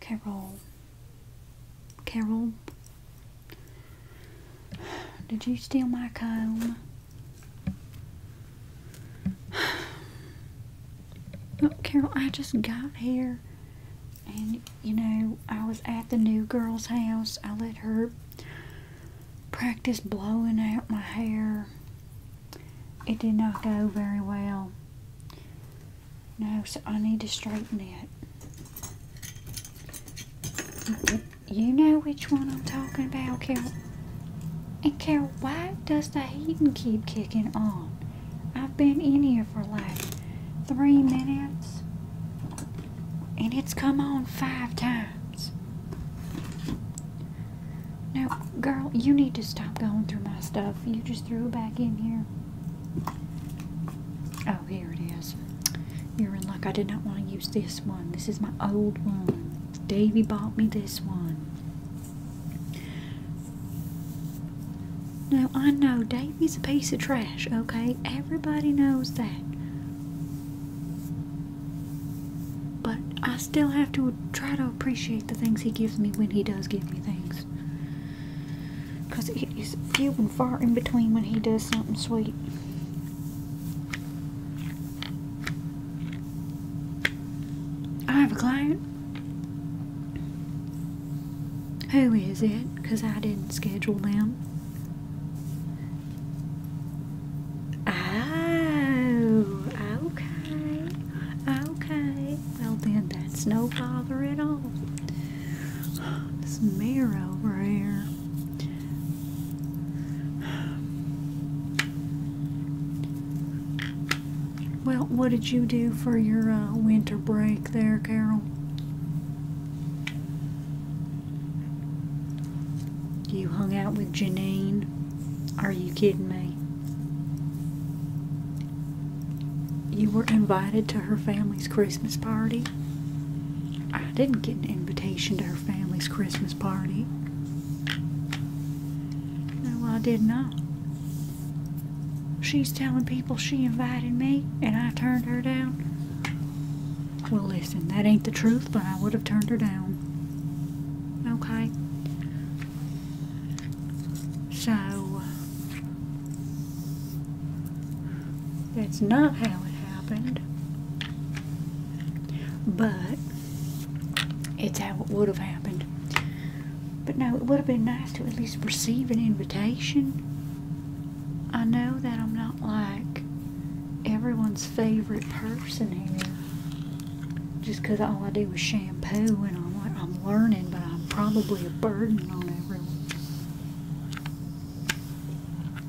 Carol. Carol. Did you steal my comb? Look, Carol, I just got here and, you know, I was at the new girl's house. I let her practice blowing out my hair. It did not go very well. No, so I need to straighten it. You know which one I'm talking about, Carol. And Carol, why does the heating keep kicking on? I've been in here for like three minutes. And it's come on five times. Now, girl, you need to stop going through my stuff. You just threw it back in here. Oh, here it is. You're in luck. I did not want to use this one. This is my old one. Davy bought me this one. Now I know. Davy's a piece of trash, okay? Everybody knows that. But I still have to try to appreciate the things he gives me when he does give me things. Because it is few and far in between when he does something sweet. I have a client. Who is it? Because I didn't schedule them. Oh, okay. Okay, well then that's no bother at all. This mirror over here. Well, what did you do for your uh, winter break there, Carol? You hung out with Janine? Are you kidding me? You were invited to her family's Christmas party. I didn't get an invitation to her family's Christmas party. No, I did not. She's telling people she invited me and I turned her down. Well, listen, that ain't the truth, but I would have turned her down. Okay? So that's not how it happened, but it's how it would have happened. But no, it would have been nice to at least receive an invitation. I know that I'm not like everyone's favorite person here just because all I do is shame. I'm, learning, but I'm probably a burden on everyone.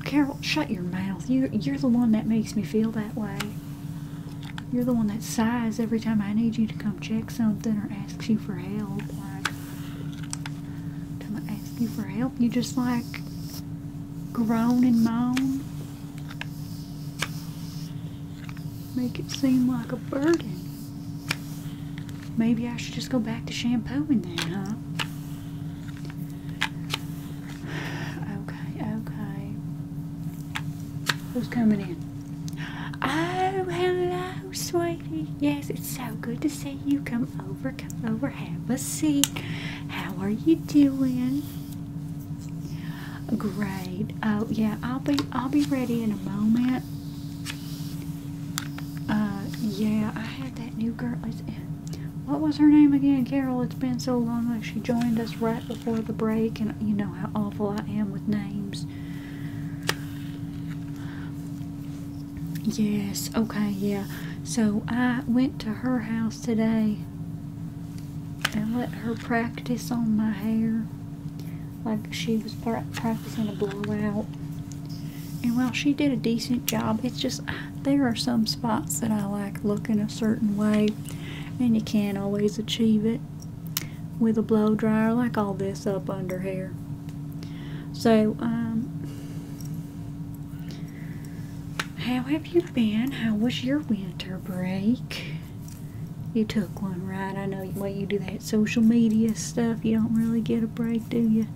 Carol, shut your mouth. You, are the one that makes me feel that way. You're the one that sighs every time I need you to come check something or asks you for help. time I ask you for help, you just like groan and moan. Make it seem like a burden. Maybe I should just go back to shampooing then, huh? Okay, okay. Who's coming in? Oh, hello, sweetie. Yes, it's so good to see you. Come over, come over, have a seat. How are you doing? Great. Oh yeah, I'll be I'll be ready in a moment. Uh, yeah, I had that new girl. What was her name again, Carol? It's been so long. She joined us right before the break, and you know how awful I am with names. Yes, okay, yeah. So I went to her house today and let her practice on my hair like she was practicing a blowout. And while she did a decent job, it's just there are some spots that I like looking a certain way, and you can't always achieve it with a blow dryer like all this up under here. So, um, how have you been? How was your winter break? You took one, right? I know what you do that social media stuff. You don't really get a break, do you?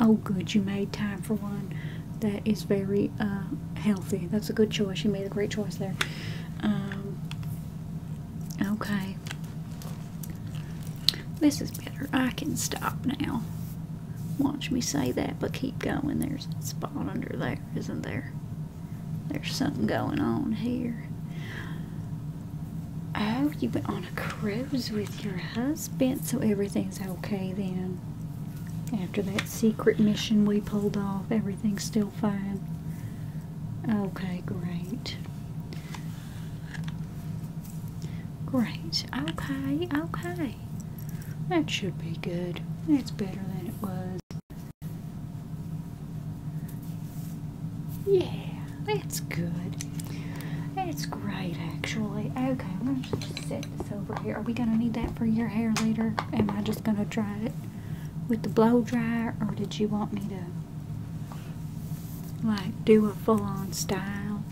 Oh, good. You made time for one. That is very uh, healthy. That's a good choice. You made a great choice there. Um, okay. This is better. I can stop now. Watch me say that, but keep going. There's a spot under there, isn't there? There's something going on here. Oh, you went on a cruise with your husband, so everything's okay then. After that secret mission we pulled off, everything's still fine. Okay, great. Great. Okay, okay. That should be good. That's better than it was. Yeah, that's good. That's great, actually. Okay, I'm gonna just set this over here. Are we gonna need that for your hair later? Am I just gonna dry it with the blow dryer, or did you want me to like do a full-on style?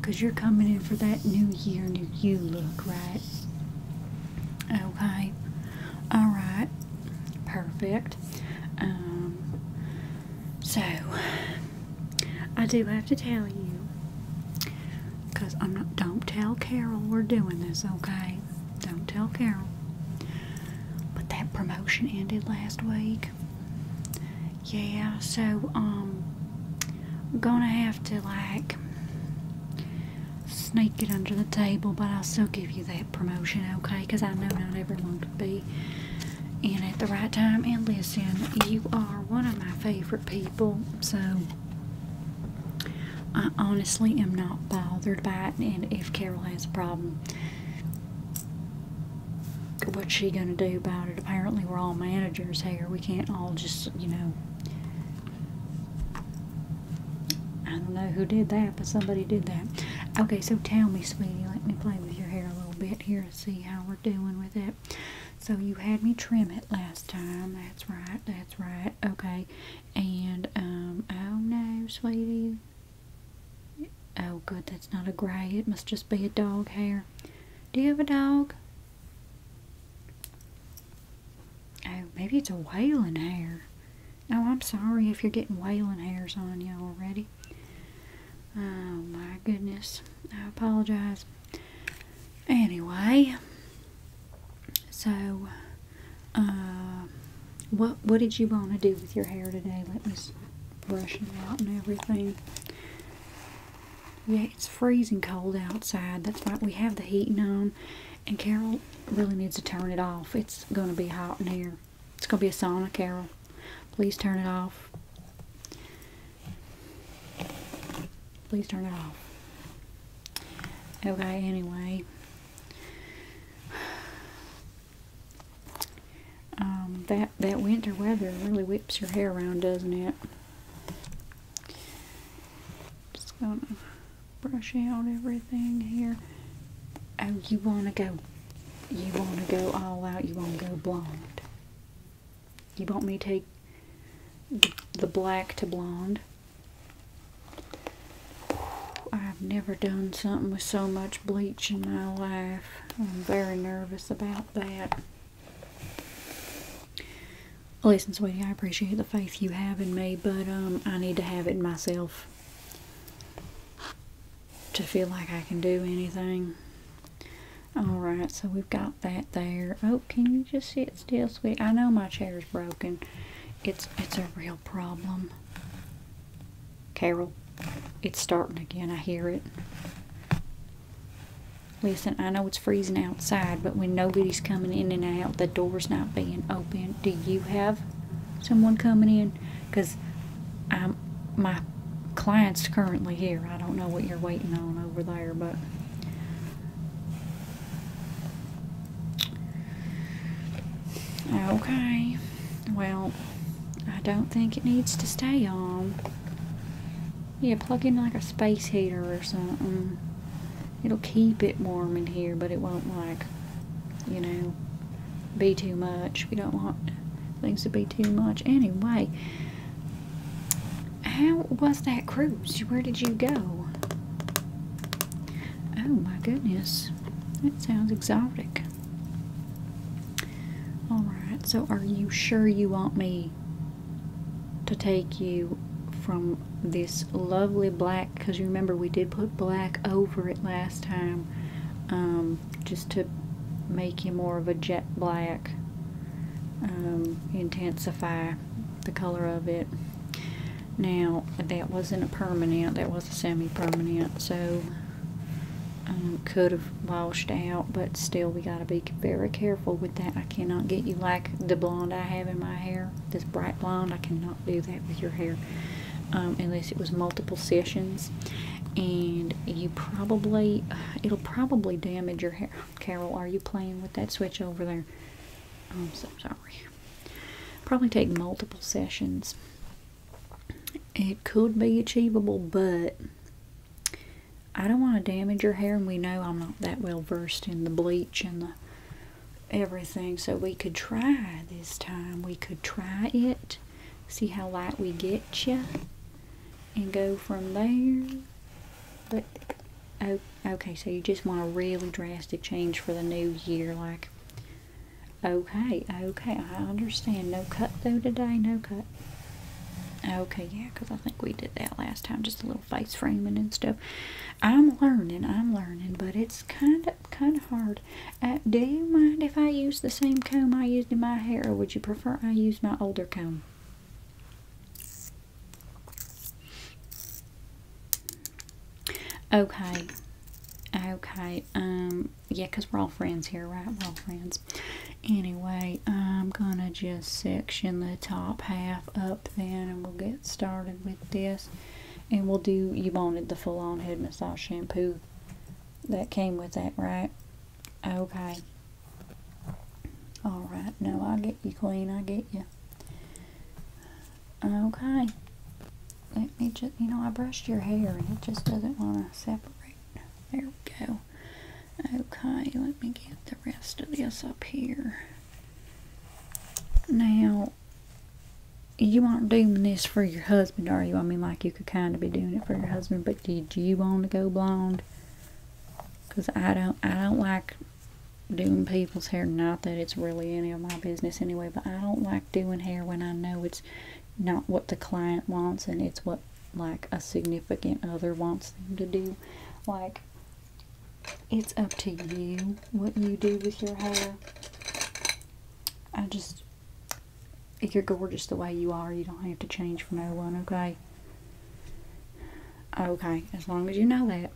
Cause you're coming in for that new year, new you look, right? Okay. All right. Perfect. Um, so, I do have to tell you, because I'm not, don't tell Carol we're doing this, okay? Don't tell Carol. But that promotion ended last week. Yeah, so, I'm um, gonna have to, like, sneak it under the table, but I'll still give you that promotion, okay? Because I know not everyone to be in at the right time. And listen, you are one of my favorite people, so I honestly am not bothered by it. And if Carol has a problem, what's she gonna do about it? Apparently, we're all managers here. We can't all just, you know. I don't know who did that, but somebody did that. Okay, so tell me, sweetie, let me play with your hair a little bit here and see how we're doing with it. So you had me trim it last time. That's right, that's right. Okay, and, um, oh no, sweetie. Oh, good, that's not a gray. It must just be a dog hair. Do you have a dog? Oh, maybe it's a whaling hair. Oh, I'm sorry if you're getting whaling hairs on you already. Oh my goodness. I apologize. Anyway, so uh, what what did you want to do with your hair today? Let me brush it out and everything. Yeah, it's freezing cold outside. That's why we have the heating on. And Carol really needs to turn it off. It's going to be hot in here it's going to be a sauna carol. Please turn it off. Please turn it off. Okay, anyway. Um, that, that winter weather really whips your hair around, doesn't it? Just gonna brush out everything here. Oh, you wanna go you want to go all out, you want to go blonde. You want me to take the black to blonde. I've never done something with so much bleach in my life. I'm very nervous about that. Listen, sweetie, I appreciate the faith you have in me, but um, I need to have it myself to feel like I can do anything. Alright, so we've got that there. Oh, can you just sit still, sweet? I know my chair's broken. It's, it's a real problem. Carol, it's starting again. I hear it. Listen, I know it's freezing outside, but when nobody's coming in and out, the door's not being opened. Do you have someone coming in? because I'm um, my client's currently here. I don't know what you're waiting on over there, but okay. Well, I don't think it needs to stay on. Yeah, plug in like a space heater or something. It'll keep it warm in here, but it won't like you know, be too much. We don't want things to be too much. Anyway, how was that cruise? Where did you go? Oh my goodness. That sounds exotic. Alright, so are you sure you want me to take you from this lovely black, because you remember we did put black over it last time, um, just to make you more of a jet black, um, intensify the color of it. Now, that wasn't a permanent, that was a semi-permanent, so um, could have washed out, but still we got to be very careful with that. I cannot get you like the blonde I have in my hair, this bright blonde. I cannot do that with your hair. Um, unless it was multiple sessions and you probably it'll probably damage your hair carol are you playing with that switch over there i'm so sorry probably take multiple sessions it could be achievable but i don't want to damage your hair and we know i'm not that well versed in the bleach and the everything so we could try this time we could try it see how light we get you and go from there but oh okay so you just want a really drastic change for the new year like okay okay i understand no cut though today no cut okay yeah because i think we did that last time just a little face framing and stuff i'm learning i'm learning but it's kind of kind of hard uh, do you mind if I use the same comb I used in my hair, or would you prefer I use my older comb? Okay. Okay. Um, yeah, we're all friends here, right? We're all friends. Anyway, I'm going to just section the top half up then, and we'll get started with this. And we'll do, you wanted the full-on head massage shampoo that came with that, right? Okay. All right. No, I get you, Queen. I get you. Okay. Let me just, you know, I brushed your hair and it just doesn't want to separate. There we go. Okay, let me get the rest of this up here. Now, you aren't doing this for your husband, are you? I mean, like, you could kind of be doing it for your husband, but did you want to go blonde? Because I don't, I don't like doing people's hair. Not that it's really any of my business anyway, but I don't like doing hair when I know it's not what the client wants and it's what, like, a significant other wants them to do. Like, it's up to you what you do with your hair. I just, if You're gorgeous the way you are. You don't have to change for no one, okay? Okay, as long as you know that.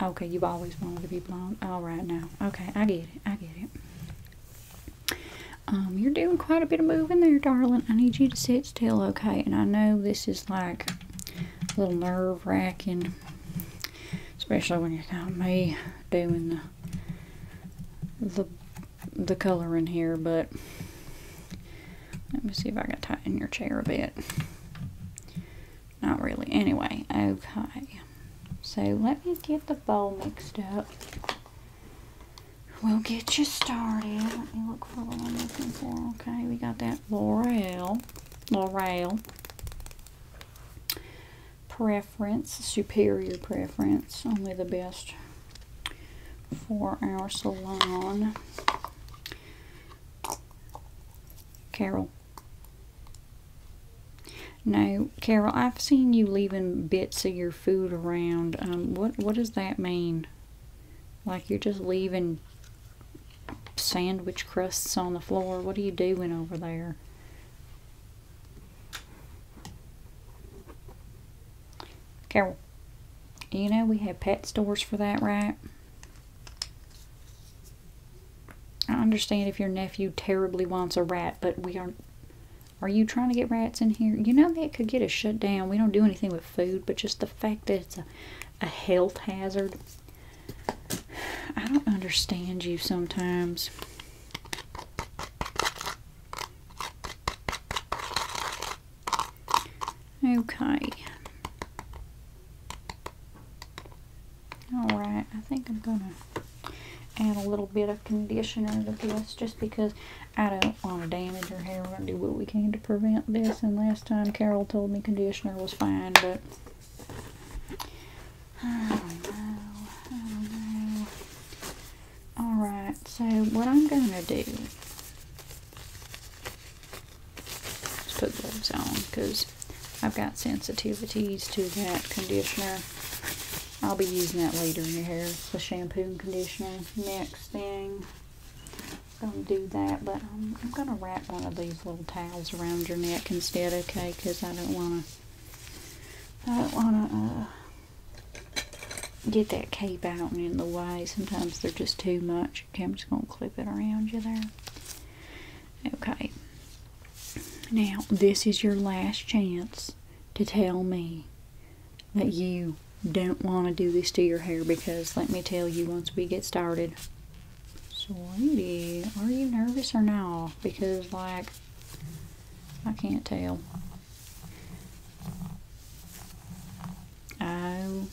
Okay, you've always wanted to be blonde. All right, now. Okay, I get it. I get it. Um, you're doing quite a bit of moving there, darling. I need you to sit still, okay? And I know this is like a little nerve wracking, especially when you're not me doing the the the color in here, but let me see if I can tighten your chair a bit. Not really. Anyway, okay. So let me get the bowl mixed up. We'll get you started. Let me look for the one I'm looking for. Okay, we got that laurel, laurel preference, superior preference, only the best for our salon. Carol. No, Carol, I've seen you leaving bits of your food around. Um, what what does that mean? Like you're just leaving sandwich crusts on the floor. What are you doing over there? Carol, you know we have pet stores for that, right? I understand if your nephew terribly wants a rat, but we are Are you trying to get rats in here? You know that could get us shut down. We don't do anything with food, but just the fact that it's a, a health hazard. I don't understand you sometimes. Okay. Alright, I think I'm going to add a little bit of conditioner to this just because I don't want to damage her hair. We're going to do what we can to prevent this. And last time Carol told me conditioner was fine, but Alright, so what I'm gonna do is put gloves on because I've got sensitivities to that conditioner. I'll be using that later in your hair, the shampoo and conditioner. Next thing, I'm going to do that, but I'm going to wrap one of these little towels around your neck instead, okay, because I don't want to I don't want to get that cape out in the way. Sometimes they're just too much. Okay, I'm just going to clip it around you there. Okay. Now, this is your last chance to tell me that you don't want to do this to your hair because let me tell you once we get started sweetie are you nervous or not because like I can't tell. Oh.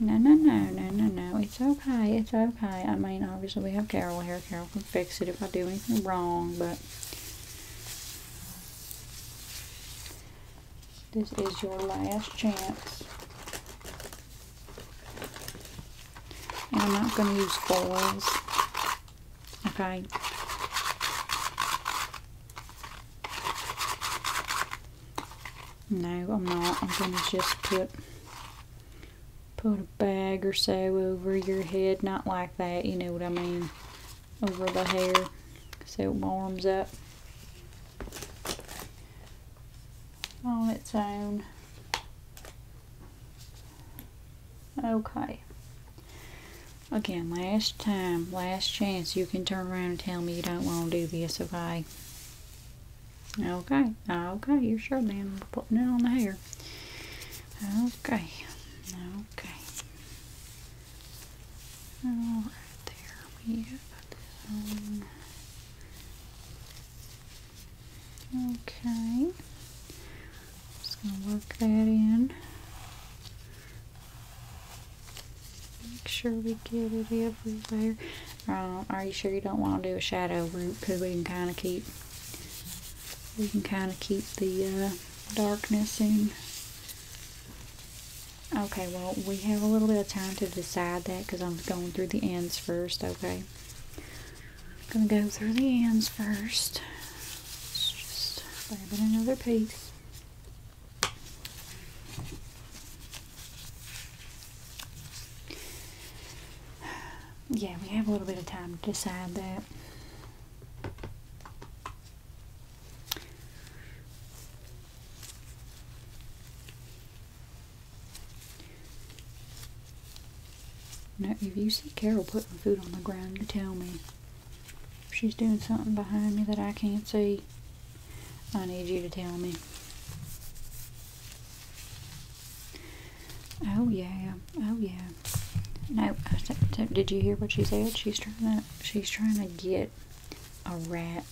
No, no, no, no, no, no. It's okay. It's okay. I mean, obviously we have Carol here. Carol can fix it if I do anything wrong, but... This is your last chance and I'm not going to use foils. Okay. No, I'm not. I'm going to just put put a bag or so over your head. Not like that, you know what I mean. Over the hair so it warms up on its own. Okay. Again, last time, last chance, you can turn around and tell me you don't want to do this, okay? Okay, okay, you're sure then. putting it on the hair. Okay, okay. All right, there we Okay. Just gonna work that in. Make sure we get it everywhere. Um, are you sure you don't want to do a shadow root? Because we can kind of keep we can kind of keep the uh, darkness in. Okay, well, we have a little bit of time to decide that because I'm going through the ends first, okay? I'm gonna go through the ends 1st just grab another piece. Yeah, we have a little bit of time to decide that. Now, if you see Carol putting food on the ground, you tell me. If she's doing something behind me that I can't see, I need you to tell me. Oh, yeah. Oh, yeah. No, did you hear what she said? She's trying to, she's trying to get a rat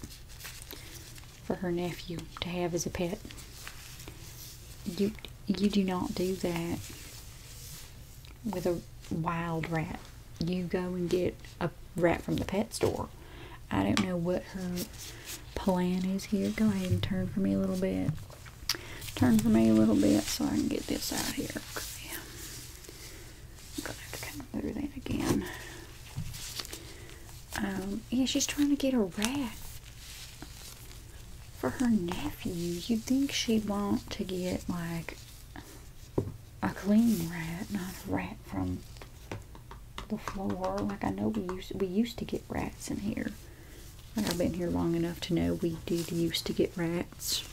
for her nephew to have as a pet. You you do not do that with a wild rat. You go and get a rat from the pet store. I don't know what her plan is here. Go ahead and turn for me a little bit. Turn for me a little bit so I can get this out here. Okay. to have to come that again. Um, yeah, she's trying to get a rat for her nephew. You'd think she'd want to get like a clean rat, not a rat from the floor. Like I know we used we used to get rats in here. I've been here long enough to know we did used to get rats.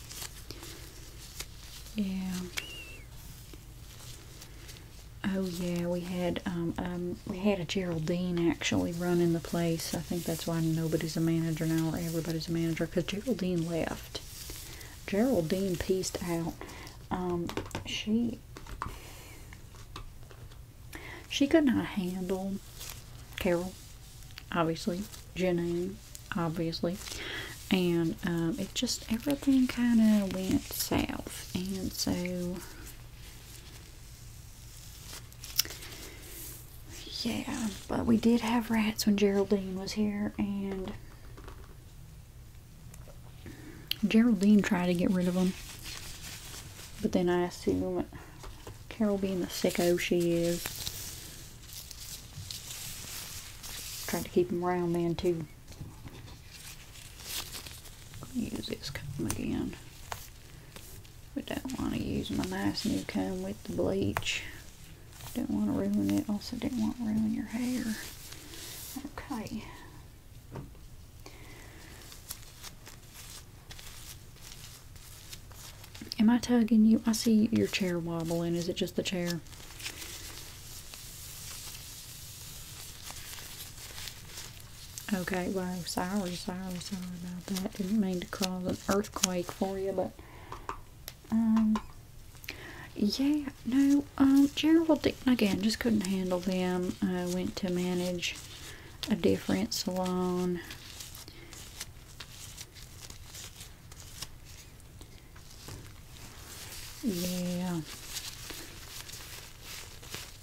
Yeah. Oh yeah, we had um, um we had a Geraldine actually running the place. I think that's why nobody's a manager now or everybody's a manager because Geraldine left. Geraldine pieced out. Um, she she could not handle Carol, obviously, Janine, obviously, and um, it just everything kind of went south, and so yeah, but we did have rats when Geraldine was here, and Geraldine tried to get rid of them. But then I assume Carol, being the sicko she is, tried to keep them around then too. Use this comb again. We don't want to use my nice new comb with the bleach. Don't want to ruin it. Also, don't want to ruin your hair. Okay. Am I tugging you? I see your chair wobbling. Is it just the chair? Okay, well, sorry, sorry, sorry about that. Didn't mean to cause an earthquake for you, but um, yeah, no, um, Gerald again just couldn't handle them. I went to manage a different salon. Yeah.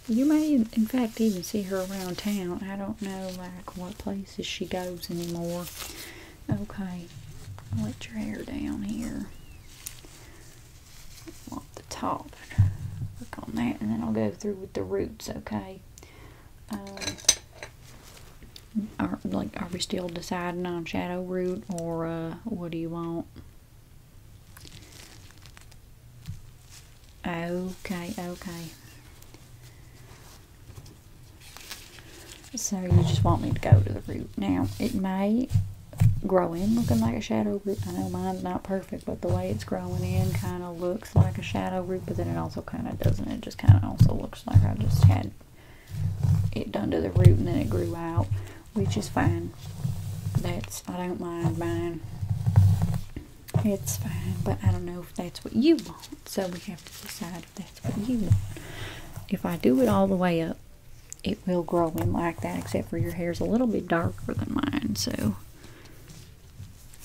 You may, in fact, even see her around town. I don't know, like, what places she goes anymore. Okay, let your hair down here. Want the top. Work on that, and then I'll go through with the roots, okay? Uh, are, like, are we still deciding on shadow root, or uh, what do you want? Okay, okay. So you just want me to go to the root. Now, it may grow in looking like a shadow root. I know mine's not perfect, but the way it's growing in kind of looks like a shadow root, but then it also kind of doesn't. It just kind of also looks like I just had it done to the root and then it grew out, which is fine. That's, I don't mind mine. It's fine, but I don't know if that's what you want. So we have to decide if that's what you want. If I do it all the way up, it will grow in like that, except for your hair's a little bit darker than mine, so.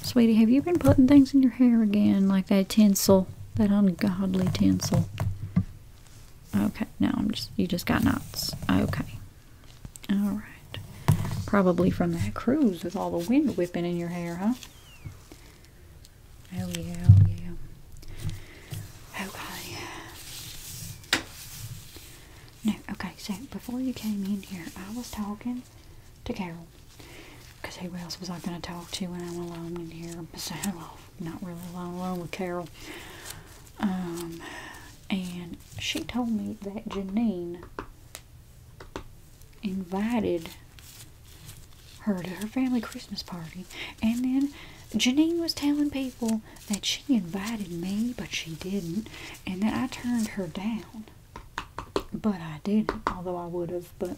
Sweetie, have you been putting things in your hair again, like that tinsel, that ungodly tinsel? Okay, now I'm just, you just got knots. Okay. All right. Probably from that cruise with all the wind whipping in your hair, huh? Oh, yeah, oh, yeah. Okay. No, okay, so before you came in here, I was talking to Carol. Because who else was I going to talk to when I'm alone in here? So, not really alone, alone with Carol. Um, and she told me that Janine invited her to her family Christmas party. And then Janine was telling people that she invited me, but she didn't, and that I turned her down. But I didn't, although I would have, but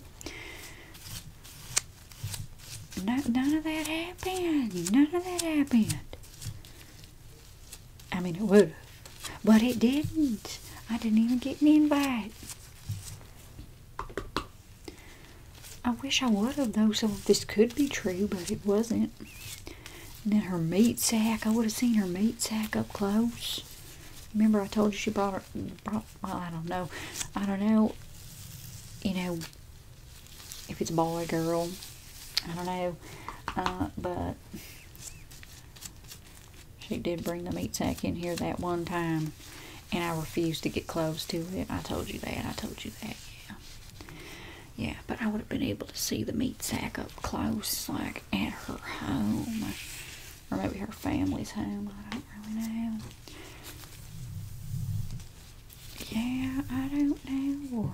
none of that happened. None of that happened. I mean, it would but it didn't. I didn't even get an invite. I wish I would have, though, so this could be true, but it wasn't. And then her meat sack, I would have seen her meat sack up close. Remember, I told you she brought, her, well, I don't know. I don't know, you know, if it's boy, or girl, I don't know. Uh, but she did bring the meat sack in here that one time, and I refused to get close to it. I told you that. I told you that. Yeah. Yeah, but I would have been able to see the meat sack up close, like at her home. Or maybe her family's home. I don't really know. Yeah, I don't know.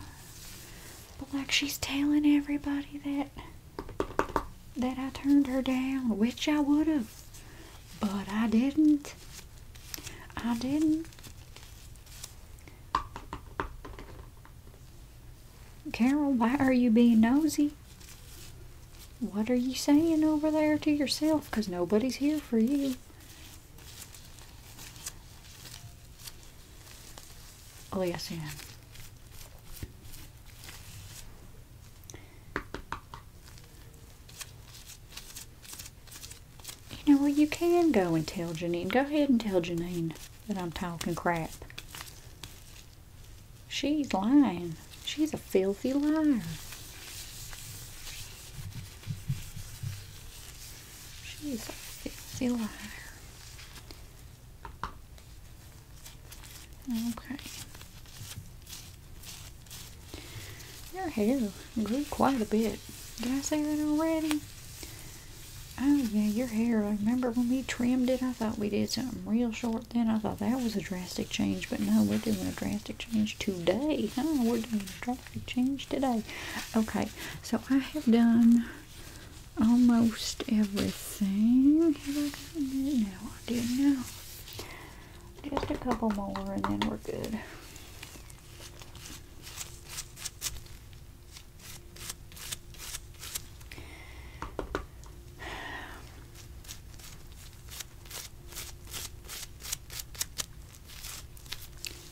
But like she's telling everybody that that I turned her down, which I would have, but I didn't. I didn't. Carol, why are you being nosy? What are you saying over there to yourself? Because nobody's here for you. Oh yes, I am. You know what? Well, you can go and tell Janine. Go ahead and tell Janine that I'm talking crap. She's lying. She's a filthy liar. She's a filthy liar. Okay. Your hair grew quite a bit. Did I say that already? Oh yeah, your hair. I remember when we trimmed it, I thought we did something real short then. I thought that was a drastic change, but no, we're doing a drastic change today. Huh? We're doing a drastic change today. Okay, so I have done almost everything. No, I did now. Just a couple more and then we're good.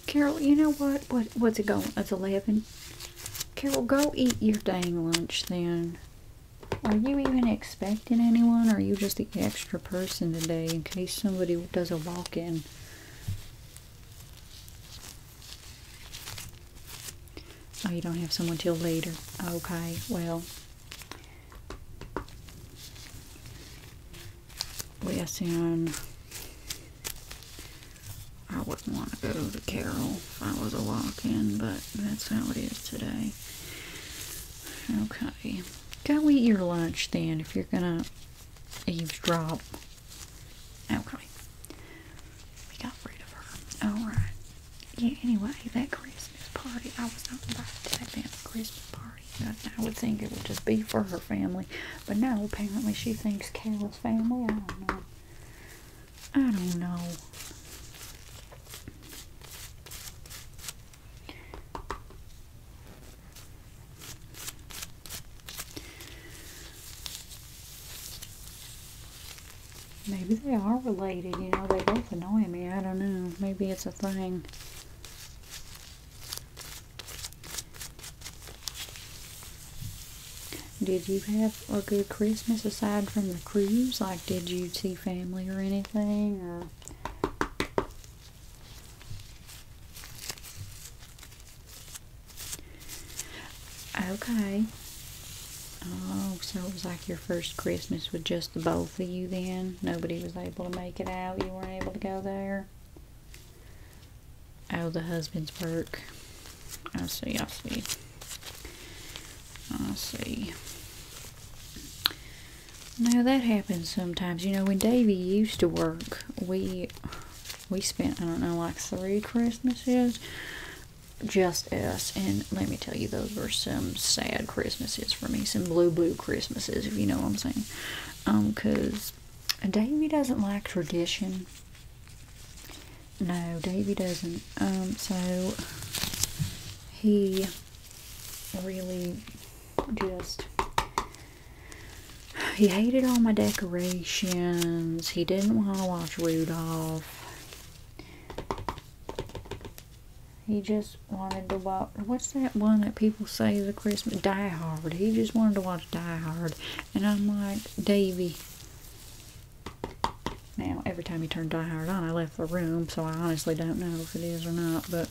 Carol, you know what? What what's it going? It's eleven Carol. Carol, go eat your dang lunch then. Are you even expecting anyone, or are you just the extra person today in case somebody does a walk in? Oh, you don't have someone till later. Okay, well. Listen. I wouldn't want to go to Carroll if I was a walk-in, but that's how it is today. Okay. Go eat your lunch then if you're gonna eavesdrop. Okay. We got rid of her. Alright. Yeah, anyway, that Christmas party, I was not invited to that family Christmas party. I would think it would just be for her family. But no, apparently she thinks Carol's family. I don't know. I don't know. Maybe they are related, you know, they both annoy me, I don't know. Maybe it's a thing. Did you have a good Christmas aside from the cruise? Like, did you see family or anything? okay. Oh, so it was like your first Christmas with just the both of you then? Nobody was able to make it out? You weren't able to go there? Oh, the husband's work. I see, I see. I see. Now that happens sometimes. You know, when Davy used to work, we we spent I don't know like three Christmases just us. And let me tell you, those were some sad Christmases for me, some blue blue Christmases, if you know what I'm saying. Um, cause Davy doesn't like tradition. No, Davy doesn't. Um, so he really just he hated all my decorations. He didn't want to watch Rudolph. He just wanted to watch. What's that one that people say is a Christmas? Die Hard. He just wanted to watch Die Hard, and I'm like, Davy, now, every time he turned Die on, I left the room, so I honestly don't know if it is or not, but...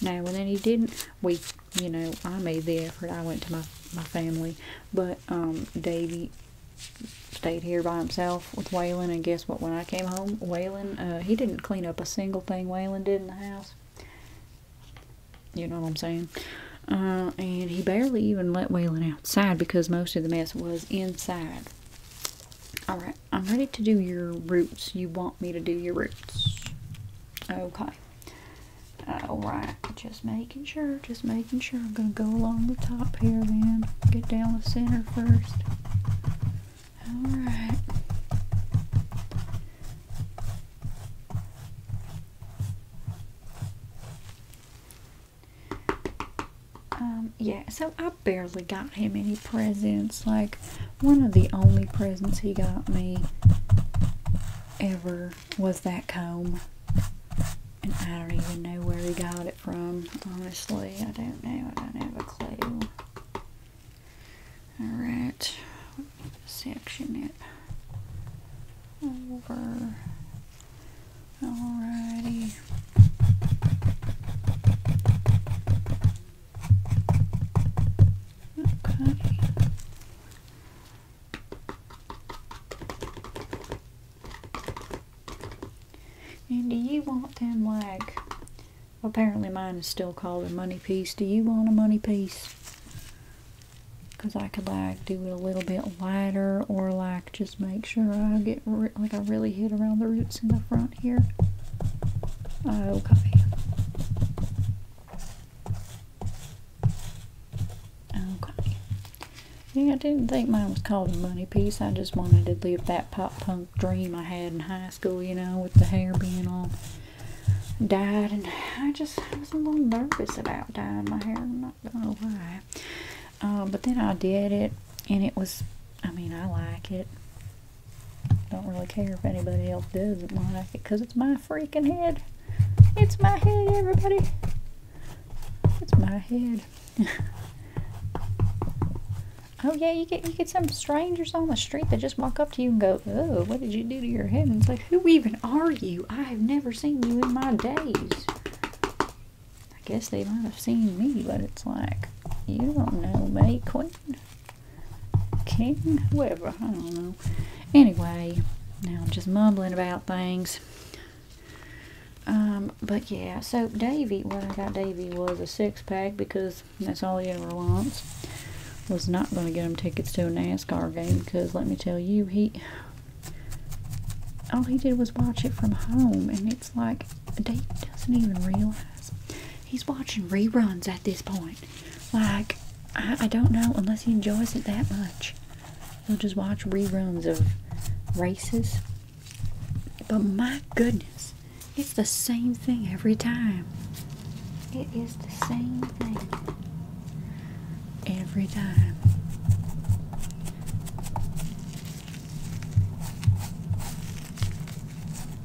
Now, and then he didn't, we, you know, I made the effort, I went to my, my family, but, um, Davey stayed here by himself with Whalen. and guess what, when I came home, Whalen uh, he didn't clean up a single thing Whalen did in the house. You know what I'm saying? Uh, and he barely even let Waylon outside because most of the mess was inside. Alright, I'm ready to do your roots. You want me to do your roots. Okay. Alright, just making sure, just making sure. I'm going to go along the top here then. Get down the center first. Alright. Um, yeah, so I barely got him any presents. Like, one of the only presents he got me ever was that comb. And I don't even know where he got it from, honestly. I don't know. I don't have a clue. Alright, section it over. Alrighty. Okay. And do you want them like, apparently mine is still called a money piece. Do you want a money piece? because I could like do it a little bit lighter or like just make sure I get like I really hit around the roots in the front here. Okay. Oh, okay. Oh, yeah, I didn't think mine was called a money piece. I just wanted to live that pop punk dream I had in high school, you know, with the hair being off. Died, and I just was a little nervous about dyeing my hair. I'm not gonna know why. Um, but then I did it and it was I mean I like it. Don't really care if anybody else doesn't like it because it's my freaking head. It's my head everybody. It's my head. oh yeah, you get you get some strangers on the street that just walk up to you and go, Oh, what did you do to your head? And it's who even are you? I have never seen you in my days. I guess they might have seen me, but it's like, you don't know me, queen, king, whoever. I don't know. Anyway, now I'm just mumbling about things. Um, but yeah, so Davy, what I got Davy was a six pack because that's all he ever wants. Was not going to get him tickets to a NASCAR game because let me tell you, he all he did was watch it from home, and it's like Dave doesn't even realize he's watching reruns at this point. Like, I don't know, unless he enjoys it that much, he'll just watch reruns of races. But my goodness, it's the same thing every time. It is the same thing every time.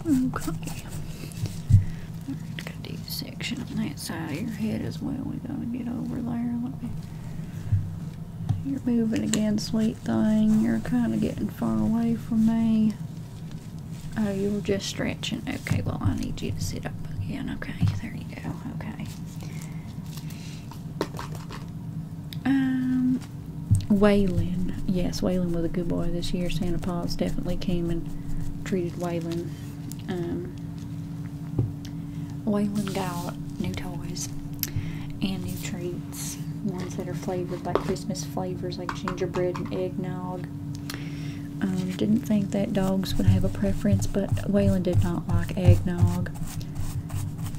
Okay. Gotta do a section on that side of your head as well. We gotta get over there. Let me You're moving again, sweet thing. You're kinda getting far away from me. Oh, you are just stretching. Okay, well I need you to sit up again. Okay, there you go. Okay. Um, Waylon. Yes, Waylon was a good boy this year. Santa Paws definitely came and treated Waylon. Um, Waylon got new toys and new treats. Ones that are flavored like Christmas flavors like gingerbread and eggnog. Um, didn't think that dogs would have a preference, but Waylon did not like eggnog.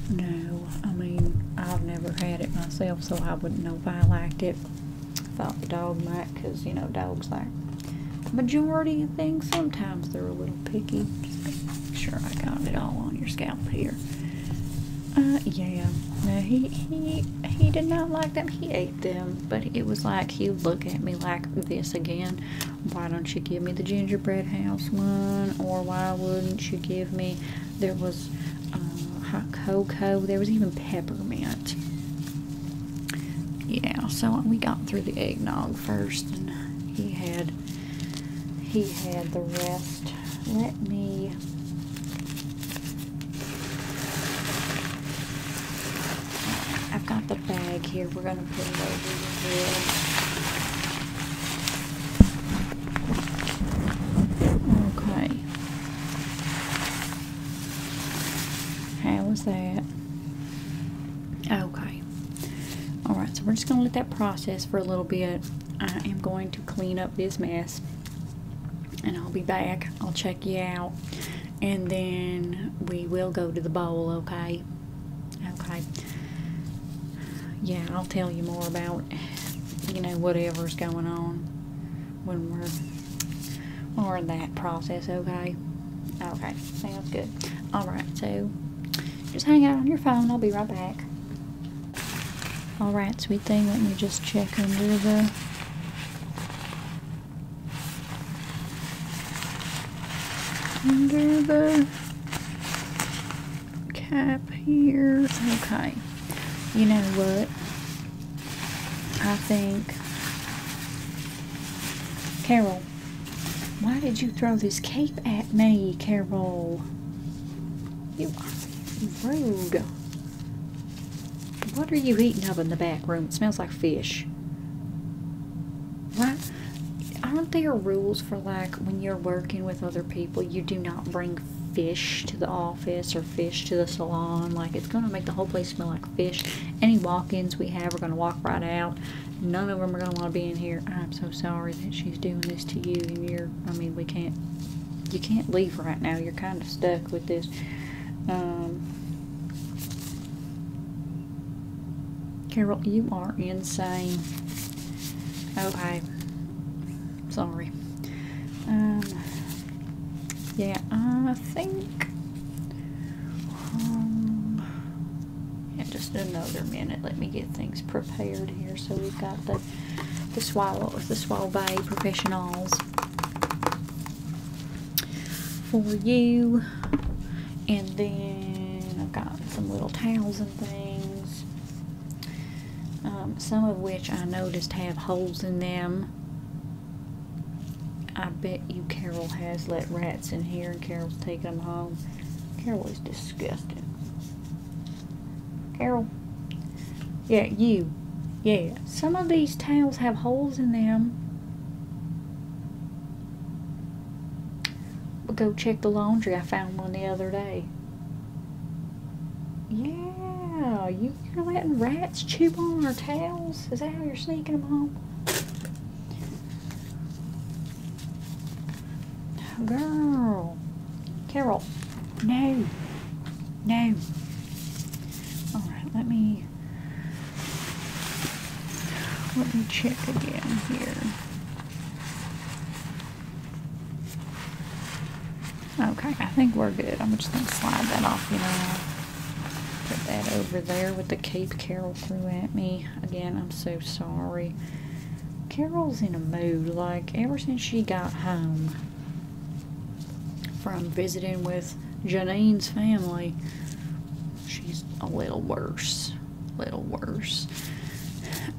No, I mean, I've never had it myself, so I wouldn't know if I liked it. Thought the dog might, because, you know, dogs like majority things. Sometimes they're a little picky. make sure I got it all on your scalp here. Uh, yeah. No, he, he, he did not like them. He ate them, but it was like he would look at me like this again why don't you give me the gingerbread house one? Or why wouldn't you give me? There was uh, hot cocoa. There was even peppermint. Yeah, so we got through the eggnog first, and he had he had the rest. Let me I've got the bag here. We're going to put it over here. Okay. How was that? Okay. Alright, so we're just going to let that process for a little bit. I am going to clean up this mess. And I'll be back. I'll check you out. And then we will go to the bowl, okay? Okay. Yeah, I'll tell you more about you know whatever's going on when we're when we're in that process. Okay. Okay. Sounds good. All right. So just hang out on your phone. I'll be right back. All right, sweet thing. Let me just check under the under the cap here. Okay. You know what? I think. Carol, why did you throw this cape at me, Carol? You are rude. What are you eating up in the back room? It smells like fish. What? aren't there rules for like when you're working with other people, you do not bring fish to the office or fish to the salon? Like it's gonna make the whole place smell like fish. Any walk-ins we have are gonna walk right out. None of them are gonna want to be in here. I'm so sorry that she's doing this to you, and you're. I mean, we can't. You can't leave right now. You're kind of stuck with this. Um, Carol, you are insane. Okay. Oh, sorry. Um, yeah, I think... Um, yeah, just another minute. Let me get things prepared here. So we've got the, the Swallow, the Swallow Bay Professionals for you. And then I've got some little towels and things. Um, some of which I noticed have holes in them. I bet you Carol has let rats in here and Carol's taking them home. Carol is disgusting. Carol? Yeah, you. Yeah, some of these towels have holes in them. But go check the laundry. I found one the other day. Yeah, you, you're letting rats chew on our towels? Is that how you're sneaking them home? Girl. Carol. No. No. Alright, let me let me check again here. Okay, I think we're good. I'm just going to slide that off, you know. Put that over there with the cape Carol threw at me. Again, I'm so sorry. Carol's in a mood, like, ever since she got home from visiting with Janine's family, she's a little worse. A little worse.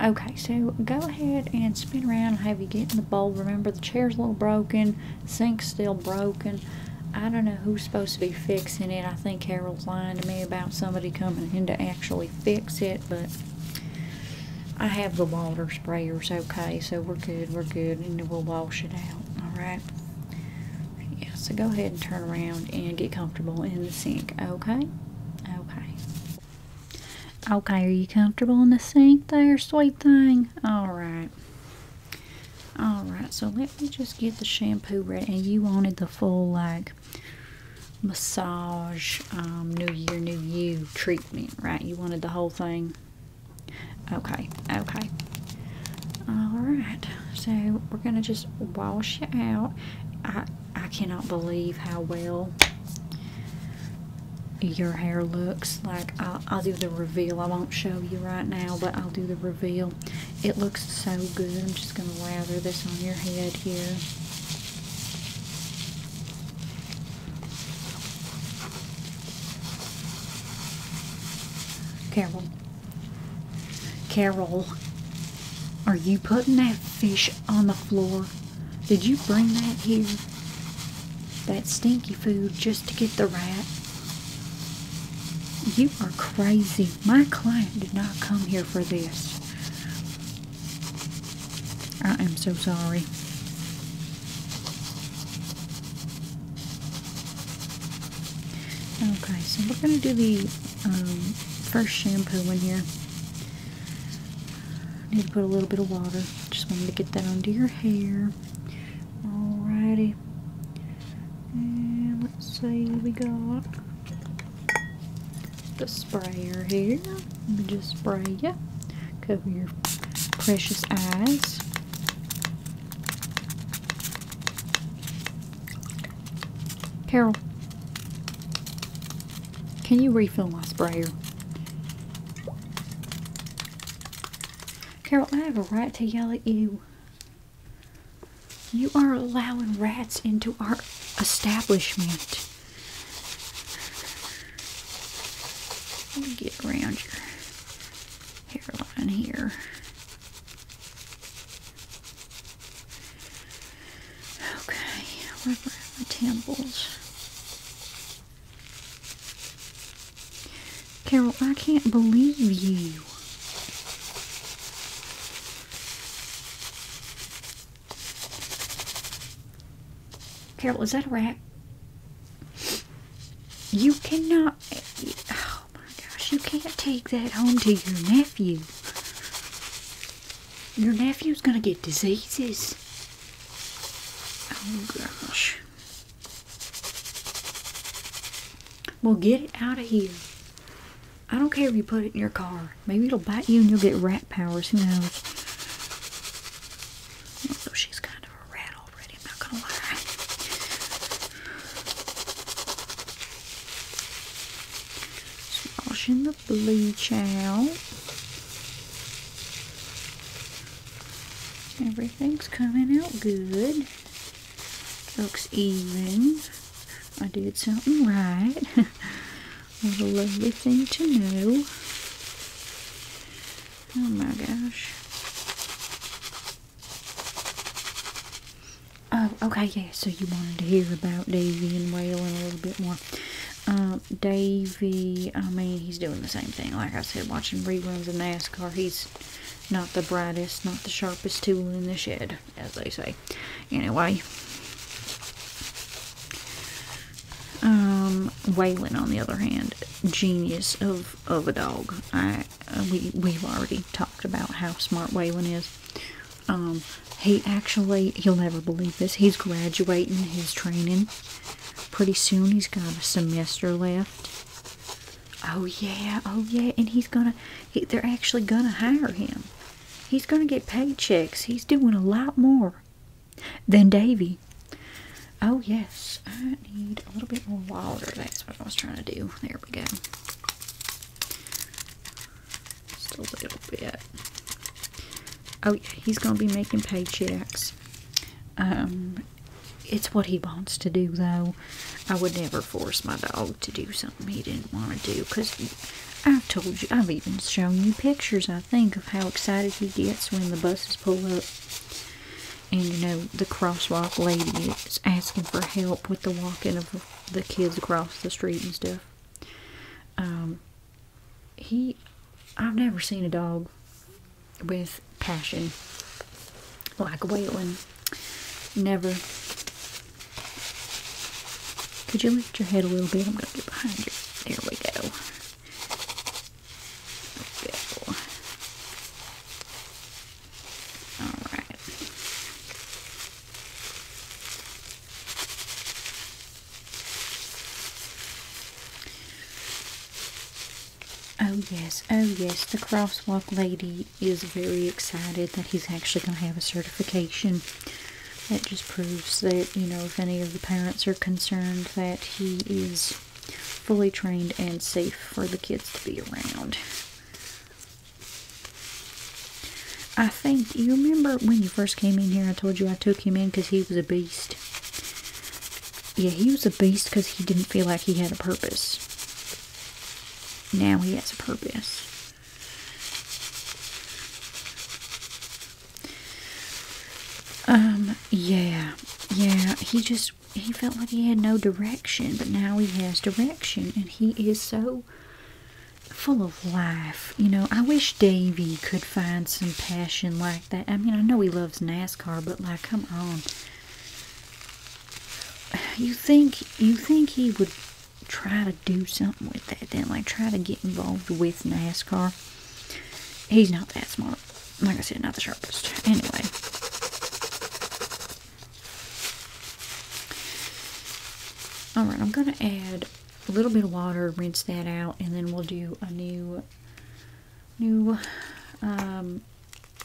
Okay, so go ahead and spin around. Have you get in the bowl? Remember, the chair's a little broken, sink's still broken. I don't know who's supposed to be fixing it. I think Harold's lying to me about somebody coming in to actually fix it, but I have the water sprayers okay, so we're good, we're good, and we'll wash it out, alright? Yeah, so go ahead and turn around and get comfortable in the sink, okay? Okay. Okay, are you comfortable in the sink there, sweet thing? Alright. Alright, so let me just get the shampoo ready. And you wanted the full, like, massage, um, new year, new you treatment, right? You wanted the whole thing? Okay, okay. Alright so we're gonna just wash you out i i cannot believe how well your hair looks like I'll, I'll do the reveal i won't show you right now but i'll do the reveal it looks so good i'm just gonna lather this on your head here careful Carol, are you putting that fish on the floor? Did you bring that here? That stinky food just to get the rat? You are crazy. My client did not come here for this. I am so sorry. Okay, so we're going to do the um, first shampoo in here. need to put a little bit of water. Just wanted to get that onto your hair. Alrighty. And let's see, we got the sprayer here. Let me just spray you. Cover your precious eyes. Carol, can you refill my sprayer? Carol, I have a right to yell at you. You are allowing rats into our establishment. Let me get around your hairline here. Okay, where were my temples? Carol, I can't believe you. Carol, is that a rat? You cannot. Oh, Oh my gosh, you can't take that home to your nephew. Your nephew's gonna get diseases. Oh gosh. Well, get it out of here. I don't care if you put it in your car. Maybe it'll bite you and you'll get rat powers. Who knows? Although she's kind of a rat already, I'm not gonna lie. Smashing the bleach out. Everything's coming out good. Looks even. I did something right. what a lovely thing to know. Oh my gosh. Oh, okay, yeah. So you wanted to hear about Davy and Waylon a little bit more. Um, Davy, I mean, he's doing the same thing. Like I said, watching reruns of NASCAR. He's not the brightest, not the sharpest tool in the shed, as they say. Anyway. Um, Waylon, on the other hand, genius of, of a dog. I we we've already talked about how smart Waylon is. Um, he actually, he will never believe this, he's graduating his training pretty soon. He's got a semester left. Oh, yeah, oh, yeah, and he's gonna, they're actually gonna hire him. He's gonna get paychecks. He's doing a lot more than Davy. Oh, yes, I need a little bit more water. That's what I was trying to do. There we go a little bit. Oh, yeah, he's going to be making paychecks. Um, it's what he wants to do, though. I would never force my dog to do something he didn't want to do because I've told you, I've even shown you pictures, I think, of how excited he gets when the buses pull up. And, you know, the crosswalk lady is asking for help with the walking of the kids across the street and stuff. Um, he, I've never seen a dog with passion like one. Never. Could you lift your head a little bit? I'm gonna get behind you. There we go. There we go. All right. Oh yes, oh yes, the crosswalk lady is very excited that he's actually going to have a certification. That just proves that, you know, if any of the parents are concerned that he is fully trained and safe for the kids to be around. I think you remember when you first came in here. I told you I took him in because he was a beast. Yeah, he was a beast because he didn't feel like he had a purpose. Now he has a purpose. Um, yeah, yeah, he just, he felt like he had no direction, but now he has direction, and he is so full of life. You know, I wish Davy could find some passion like that. I mean, I know he loves NASCAR, but like, come on. You think you think he would try to do something with that? Then, like, try to get involved with NASCAR. He's not that smart. Like I said, not the sharpest. Anyway, Alright, I'm going to add a little bit of water, rinse that out, and then we'll do a new, new um,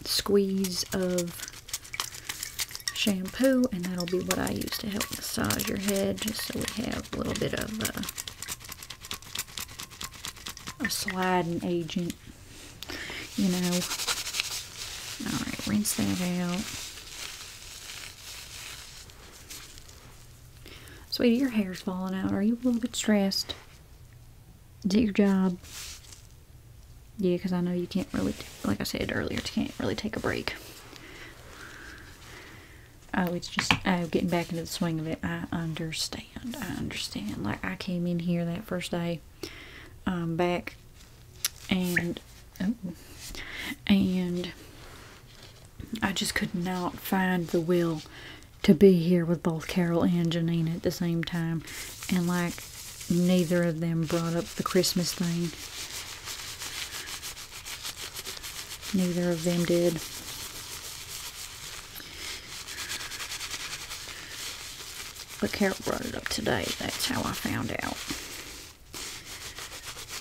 squeeze of shampoo, and that'll be what I use to help massage your head, just so we have a little bit of uh, a sliding agent, you know. Alright, rinse that out. Sweetie, your hair's falling out. Are you a little bit stressed? Is it your job? Yeah, because I know you can't really, like I said earlier, you can't really take a break. Oh, it's just, oh, getting back into the swing of it. I understand. I understand. Like, I came in here that first day. Um, back and oh, and I just could not find the will to be here with both Carol and Janine at the same time, and like neither of them brought up the Christmas thing. Neither of them did. But Carol brought it up today. That's how I found out.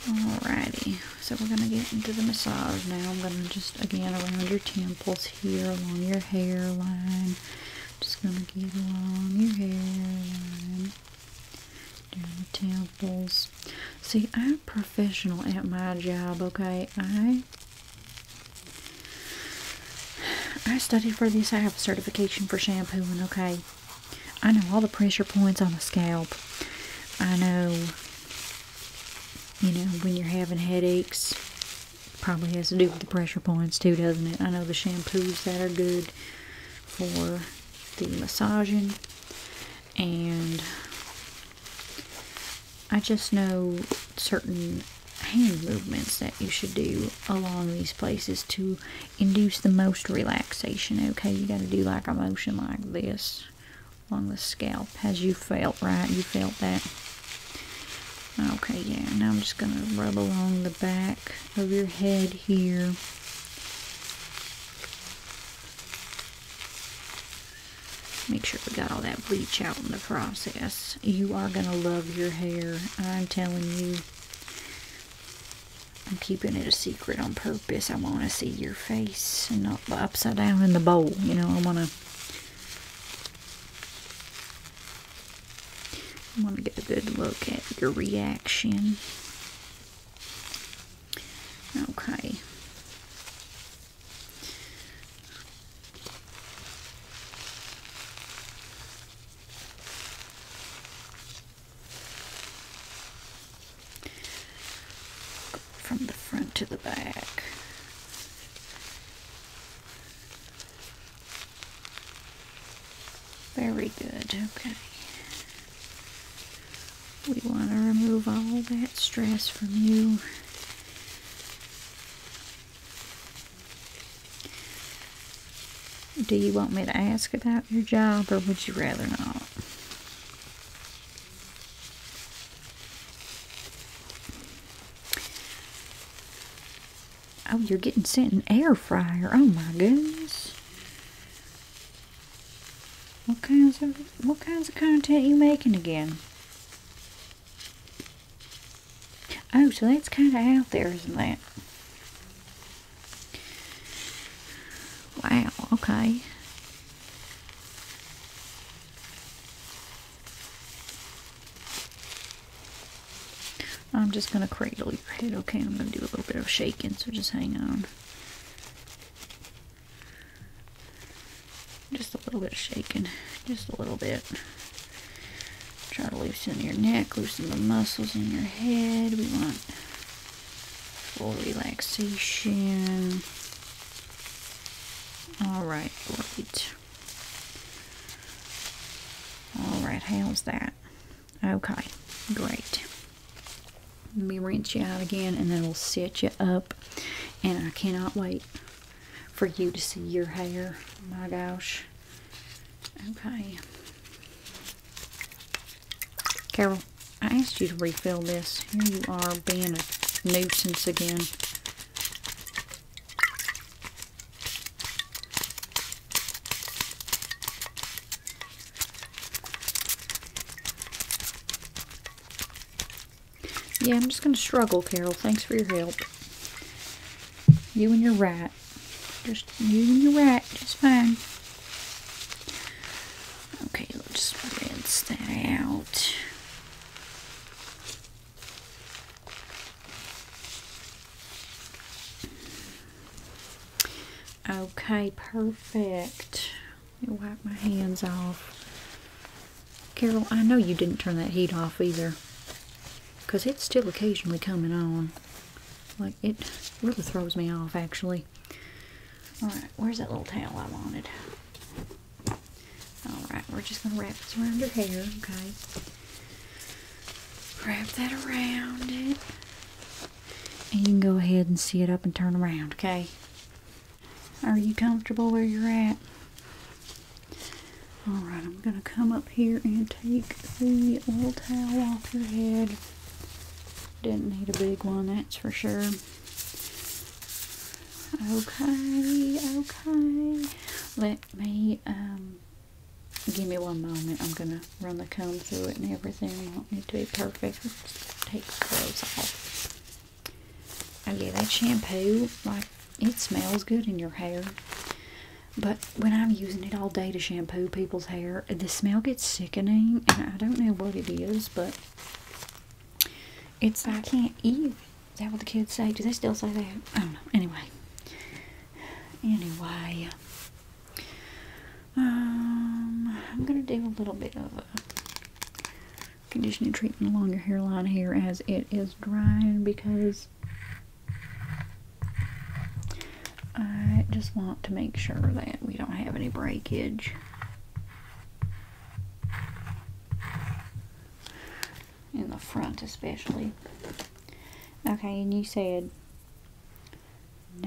Alrighty, so we're going to get into the massage now. I'm going to just, again, around your temples here, along your hairline. Just going to get along your hairline, down the temples. See, I'm professional at my job, okay? I I study for this. I have a certification for shampooing, okay? I know all the pressure points on the scalp. I know, you know, when you're having headaches, probably has to do with the pressure points too, doesn't it? I know the shampoos that are good for the massaging. And I just know certain hand movements that you should do along these places to induce the most relaxation. Okay, you got to do like a motion like this along the scalp Has you felt, right? You felt that. Okay, yeah, now I'm just going to rub along the back of your head here. Make sure we got all that bleach out in the process. You are going to love your hair, I'm telling you. I'm keeping it a secret on purpose. I want to see your face and not upside down in the bowl. You know, I want to. I want to get a good look at your reaction. Okay. From the front to the back. Very good, okay. We want to remove all that stress from you. Do you want me to ask about your job or would you rather not? Oh, you're getting sent an air fryer. Oh my goodness. What kinds of what kinds of content you making again? Oh, so that's kind of out there, isn't that? Wow, okay. I'm just going to cradle your head, okay? I'm going to do a little bit of shaking, so just hang on. Just a little bit of shaking. Just a little bit. Try to loosen your neck, loosen the muscles in your head. We want for relaxation. Alright, great. Alright, how's that? Okay, great. Let me rinse you out again and then we'll set you up. And I cannot wait for you to see your hair. My gosh. Okay. Carol, I asked you to refill this. Here you are being a nuisance again. Yeah, I'm just going to struggle, Carol. Thanks for your help. You and your rat. Just using your wet, just fine. Okay, let's rinse that out. Okay, perfect. Let me wipe my hands off. Carol, I know you didn't turn that heat off either. Because it's still occasionally coming on. Like, it really throws me off, actually. Alright, where's that little towel I wanted? Alright, we're just going to wrap this around her hair, okay? Wrap that around it. And you can go ahead and see it up and turn around, okay? Are you comfortable where you're at? Alright, I'm going to come up here and take the little towel off your head. Didn't need a big one, that's for sure. Okay, okay. Let me, um, give me one moment. I'm going to run the comb through it and everything. I don't need to be perfect. Let's take clothes off. Oh yeah, that shampoo, like, it smells good in your hair. But when I'm using it all day to shampoo people's hair, the smell gets sickening and I don't know what it is, but it's I can't eat. Is that what the kids say? Do they still say that? I don't know. Anyway. Anyway. Um, I'm gonna do a little bit of conditioning treatment along your hairline here as it is drying because I just want to make sure that we don't have any breakage. In the front especially. Okay, and you said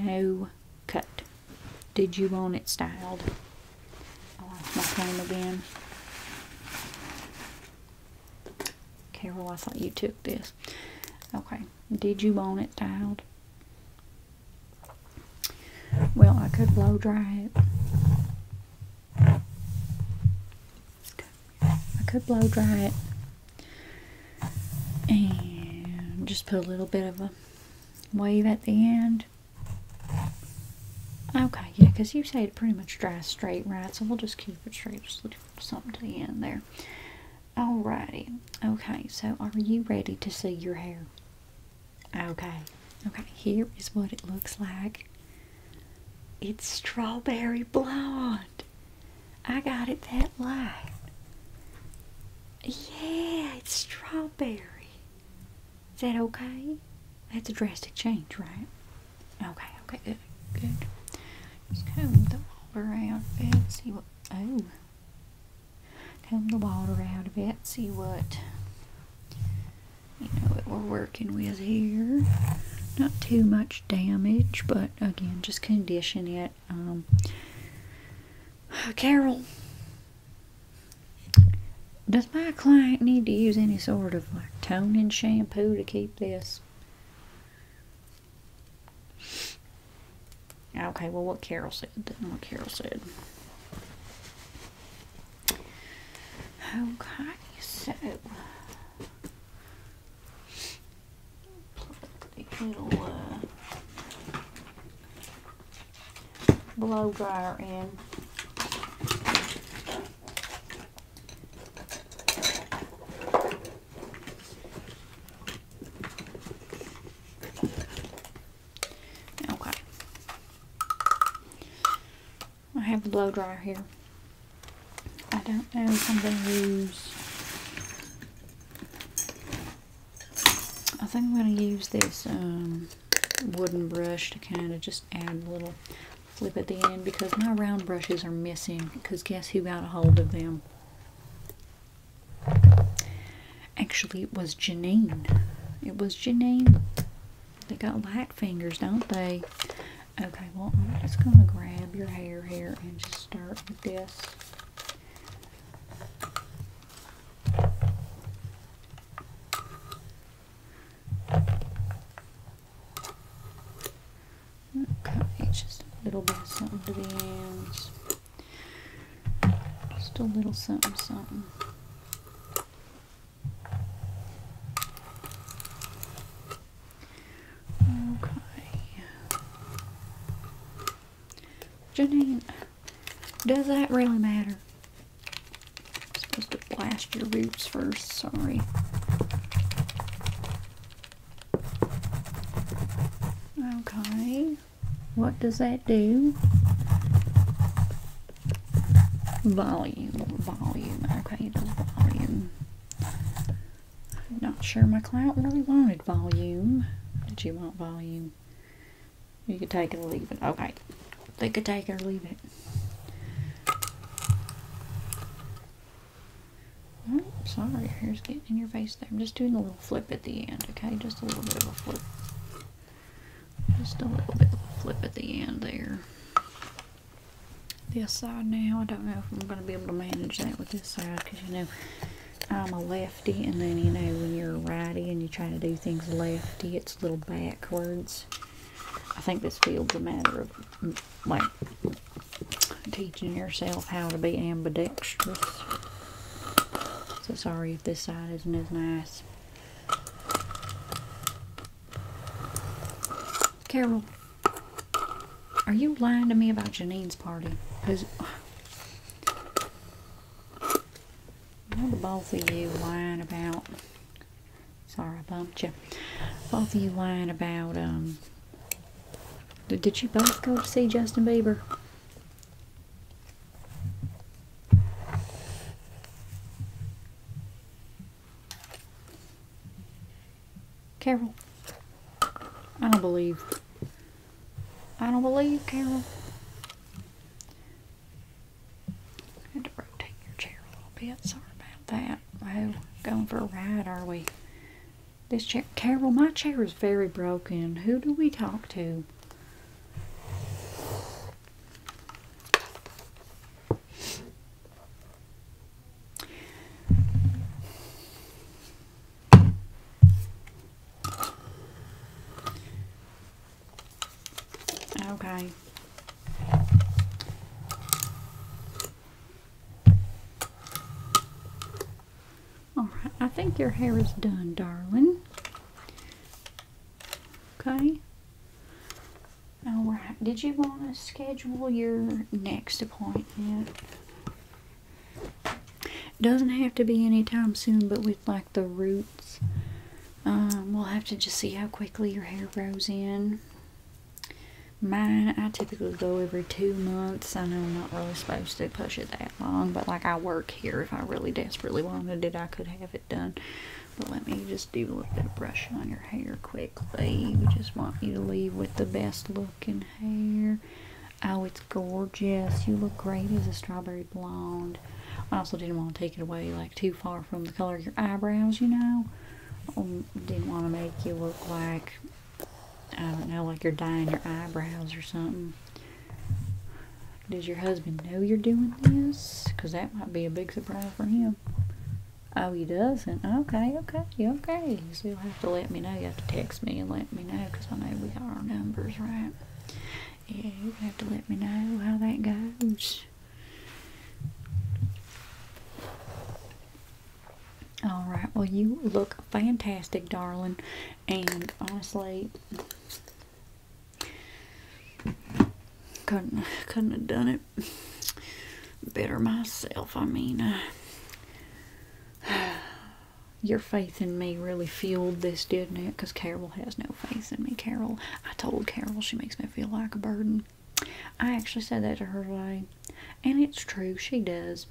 no cut. Did you want it styled? I lost my comb again. Carol, I thought you took this. Okay, did you want it styled? Well, I could blow dry it. I could blow dry it and just put a little bit of a wave at the end. Okay, yeah, because you say it pretty much dries straight, right? So we'll just keep it straight, just something to the end there. Alrighty. Okay, so are you ready to see your hair? Okay. Okay, here is what it looks like. It's strawberry blonde. I got it that light. Yeah, it's strawberry. Is that okay? That's a drastic change, right? Okay, okay, good, good. Just comb the water around and see what. Oh, Calm the water out a bit, see what you know what we're working with here. Not too much damage, but again, just condition it. Um, Carol, does my client need to use any sort of like toning shampoo to keep this Okay, well, what Carol said, then, what Carol said. Okay, so. Little uh, blow dryer in. Okay. I have a blow dryer here. I don't know if I'm going to use... I think I'm going to use this um, wooden brush to kind of just add a little flip at the end because my round brushes are missing because guess who got a hold of them? Actually, it was Janine. It was Janine. They got light fingers, don't they? Okay, well, I'm just going to grab your hair here and just start with this. Okay, just a little bit something to the ends. Just a little something, something. Okay. Janine, does that really matter? supposed to blast your roots first, sorry. Okay. What does that do? Volume, volume. Okay, volume. I'm not sure my client really wanted volume. Did you want volume? You could take it or leave it. Okay. They could take it or leave it. Oh, sorry, hair's getting in your face there. I'm just doing a little flip at the end, okay? Just a little bit of a flip. Just a little bit flip at the end there. This side now, I don't know if I'm going to be able to manage that with this side because, you know, I'm a lefty and then, you know, when you're a righty and you try to do things lefty, it's a little backwards. I think this feels a matter of, like, teaching yourself how to be ambidextrous. So sorry if this side isn't as nice. Carol, are you lying to me about Janine's party? Because both of you lying about? Sorry I bumped you. Both of you lying about, um, did you both go to see Justin Bieber? Carol. I don't believe. I don't believe, Carol. I had to rotate your chair a little bit. Sorry about that. Oh, going for a ride, are we? This chair, Carol, my chair is very broken. Who do we talk to? Okay. Alright, I think your hair is done, darling. Okay. Alright, did you want to schedule your next appointment? Doesn't have to be anytime soon, but with like the roots, um, we'll have to just see how quickly your hair grows in. Mine, I typically go every two months. I know I'm not really supposed to push it that long, but like I work here. If I really desperately wanted it, I could have it done. But let me just do a little bit of brushing on your hair quickly. We just want you to leave with the best looking hair. Oh, it's gorgeous. You look great as a strawberry blonde. I also didn't want to take it away like too far from the color of your eyebrows, you know. Um, didn't want to make you look like I don't know, like you're dyeing your eyebrows or something. Does your husband know you're doing this? Because that might be a big surprise for him. Oh, he doesn't? Okay, okay, okay. So you'll have to let me know. You have to text me and let me know because I know we got our numbers, right? Yeah, you have to let me know how that goes. All right, well, you look fantastic, darling. And honestly, couldn't couldn't have done it better myself. I mean, uh, your faith in me really fueled this, didn't it? Because Carol has no faith in me. Carol, I told Carol she makes me feel like a burden. I actually said that to her today, and it's true. She does.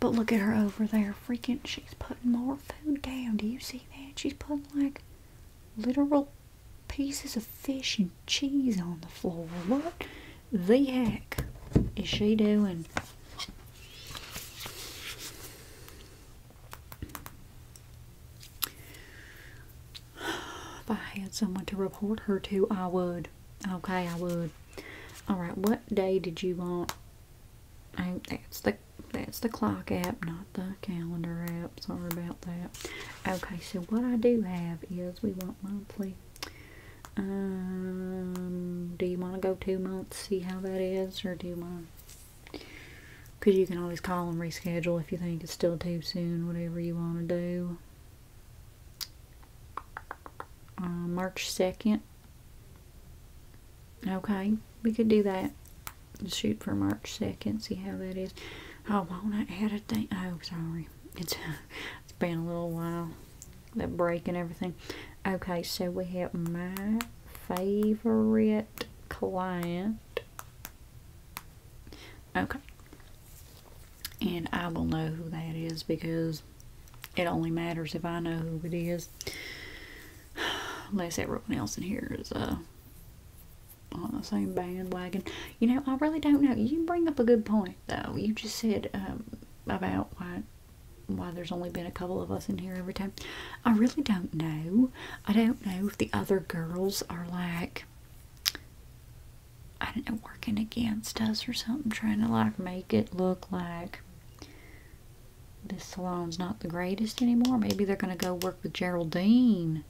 But look at her over there, freaking, she's putting more food down. Do you see that? She's putting like literal pieces of fish and cheese on the floor. What the heck is she doing? If I had someone to report her to, I would. Okay, I would. Alright, what day did you want that's the that's the clock app, not the calendar app. Sorry about that. Okay, so what I do have is we want monthly. Um, do you want to go two months, see how that is, or do you want? Because you can always call and reschedule if you think it's still too soon. Whatever you want to do. Uh, March second. Okay, we could do that. Shoot for March 2nd, see how that is. Oh, won't I add a thing? Oh, sorry. It's, it's been a little while. That break and everything. Okay, so we have my favorite client. Okay. And I will know who that is because it only matters if I know who it is. Unless everyone else in here is uh, on the same bandwagon. You know, I really don't know. You bring up a good point, though. You just said um, about why why there's only been a couple of us in here every time. I really don't know. I don't know if the other girls are like, I don't know, working against us or something, trying to like make it look like this salon's not the greatest anymore. Maybe they're going to go work with Geraldine.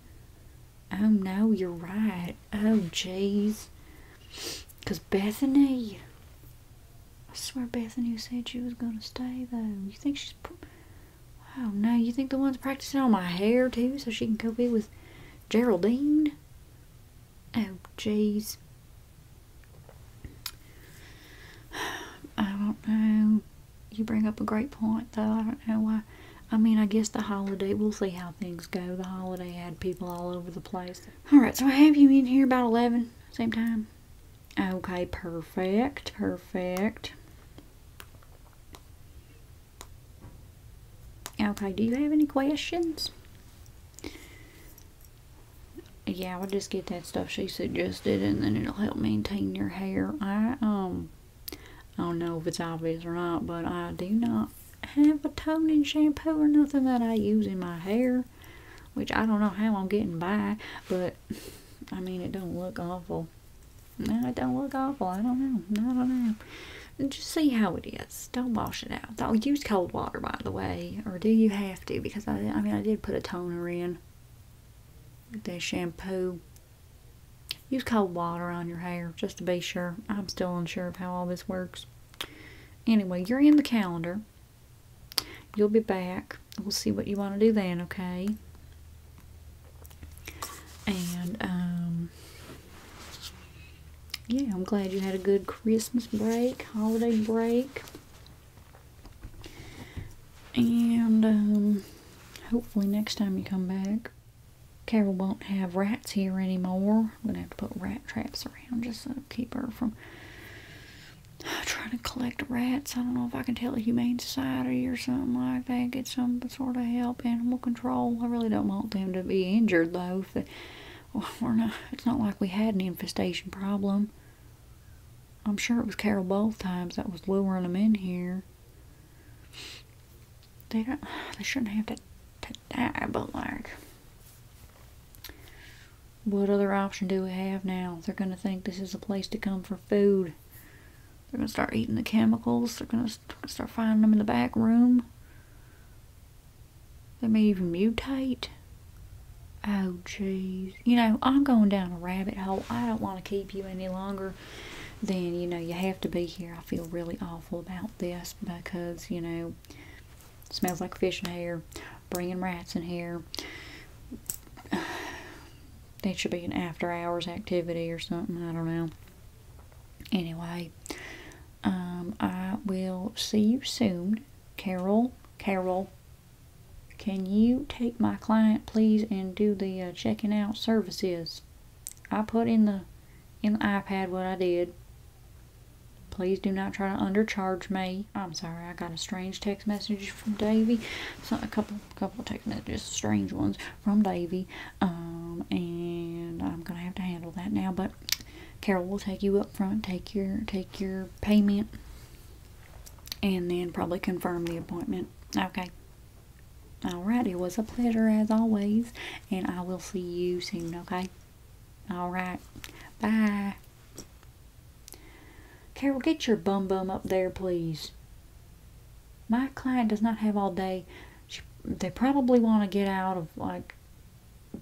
Oh, no, you're right. Oh, jeez. Because Bethany... I swear Bethany said she was going to stay, though. You think she's... Oh, no, you think the one's practicing on my hair, too, so she can go be with Geraldine? Oh, jeez. I don't know. You bring up a great point, though. I don't know why. I mean, I guess the holiday, we'll see how things go. The holiday had people all over the place. All right, so I have you in here about 11, same time. Okay, perfect, perfect. Okay, do you have any questions? yeah, I'll just get that stuff she suggested and then it'll help maintain your hair. I, um, I don't know if it's obvious or not, but I do not have a toning shampoo or nothing that I use in my hair, which I don't know how I'm getting by, but I mean, it don't look awful. No, it don't look awful. I don't know. I don't know just see how it is. Don't wash it out. Don't use cold water, by the way. Or do you have have to because I, I mean I did put a toner in with that shampoo. Use cold water on your hair just to be sure. I'm still unsure of how all this works. Anyway, you're in the calendar. You'll be back. We'll see what you want to do then, okay? And, um, yeah, I'm glad you had a good Christmas break, holiday break. And um, hopefully next time you come back, Carol won't have rats here anymore. I'm going to have to put rat traps around just to keep her from trying to collect rats. I don't know if I can tell the Humane Society or something like that, get some sort of help, animal control. I really don't want them to be injured though. If they, well, we're not, it's not like we had an infestation problem. I'm sure it was Carol both times that was luring them in here. They don't. They shouldn't have to die, but like, what other option do we have now? They're gonna think this is a place to come for food. They're gonna start eating the chemicals. They're gonna start finding them in the back room. They may even mutate. Oh, jeez. You know, I'm going down a rabbit hole. I don't want to keep you any longer than, you know, you have to be here. I feel really awful about this because, you know, smells like fish in here, bringing rats in here. That should be an after hours activity or something. I don't know. Anyway, um, I will see you soon. Carol, Carol, can you take my client, please, and do the uh, checking out services? I put in the in the iPad what I did. Please do not try to undercharge me. I'm sorry, I got a strange text message from Davy. So a couple, couple of text messages, strange ones from Davy. Um, and I'm gonna have to handle that now. But Carol will take you up front. Take your, take your payment and then probably confirm the appointment. Okay. Alright, it was a pleasure as always, and I will see you soon, okay? Alright, bye. Carol, get your bum bum up there, please. My client does not have all day. they probably want to get out of, like,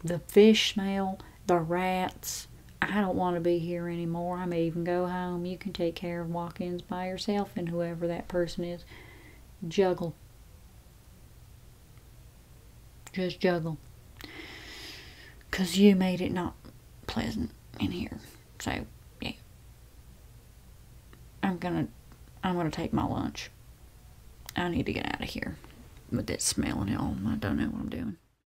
the fish smell, the rats, I don't want to be here anymore. I may even go home. You can take care of walk by yourself and whoever that person is. Juggle. Just juggle. 'Cause you made it not pleasant in here. So, yeah. I'm going to. I'm gonna take my lunch. I need to get out of here with that smell and all. I don't know what I'm doing.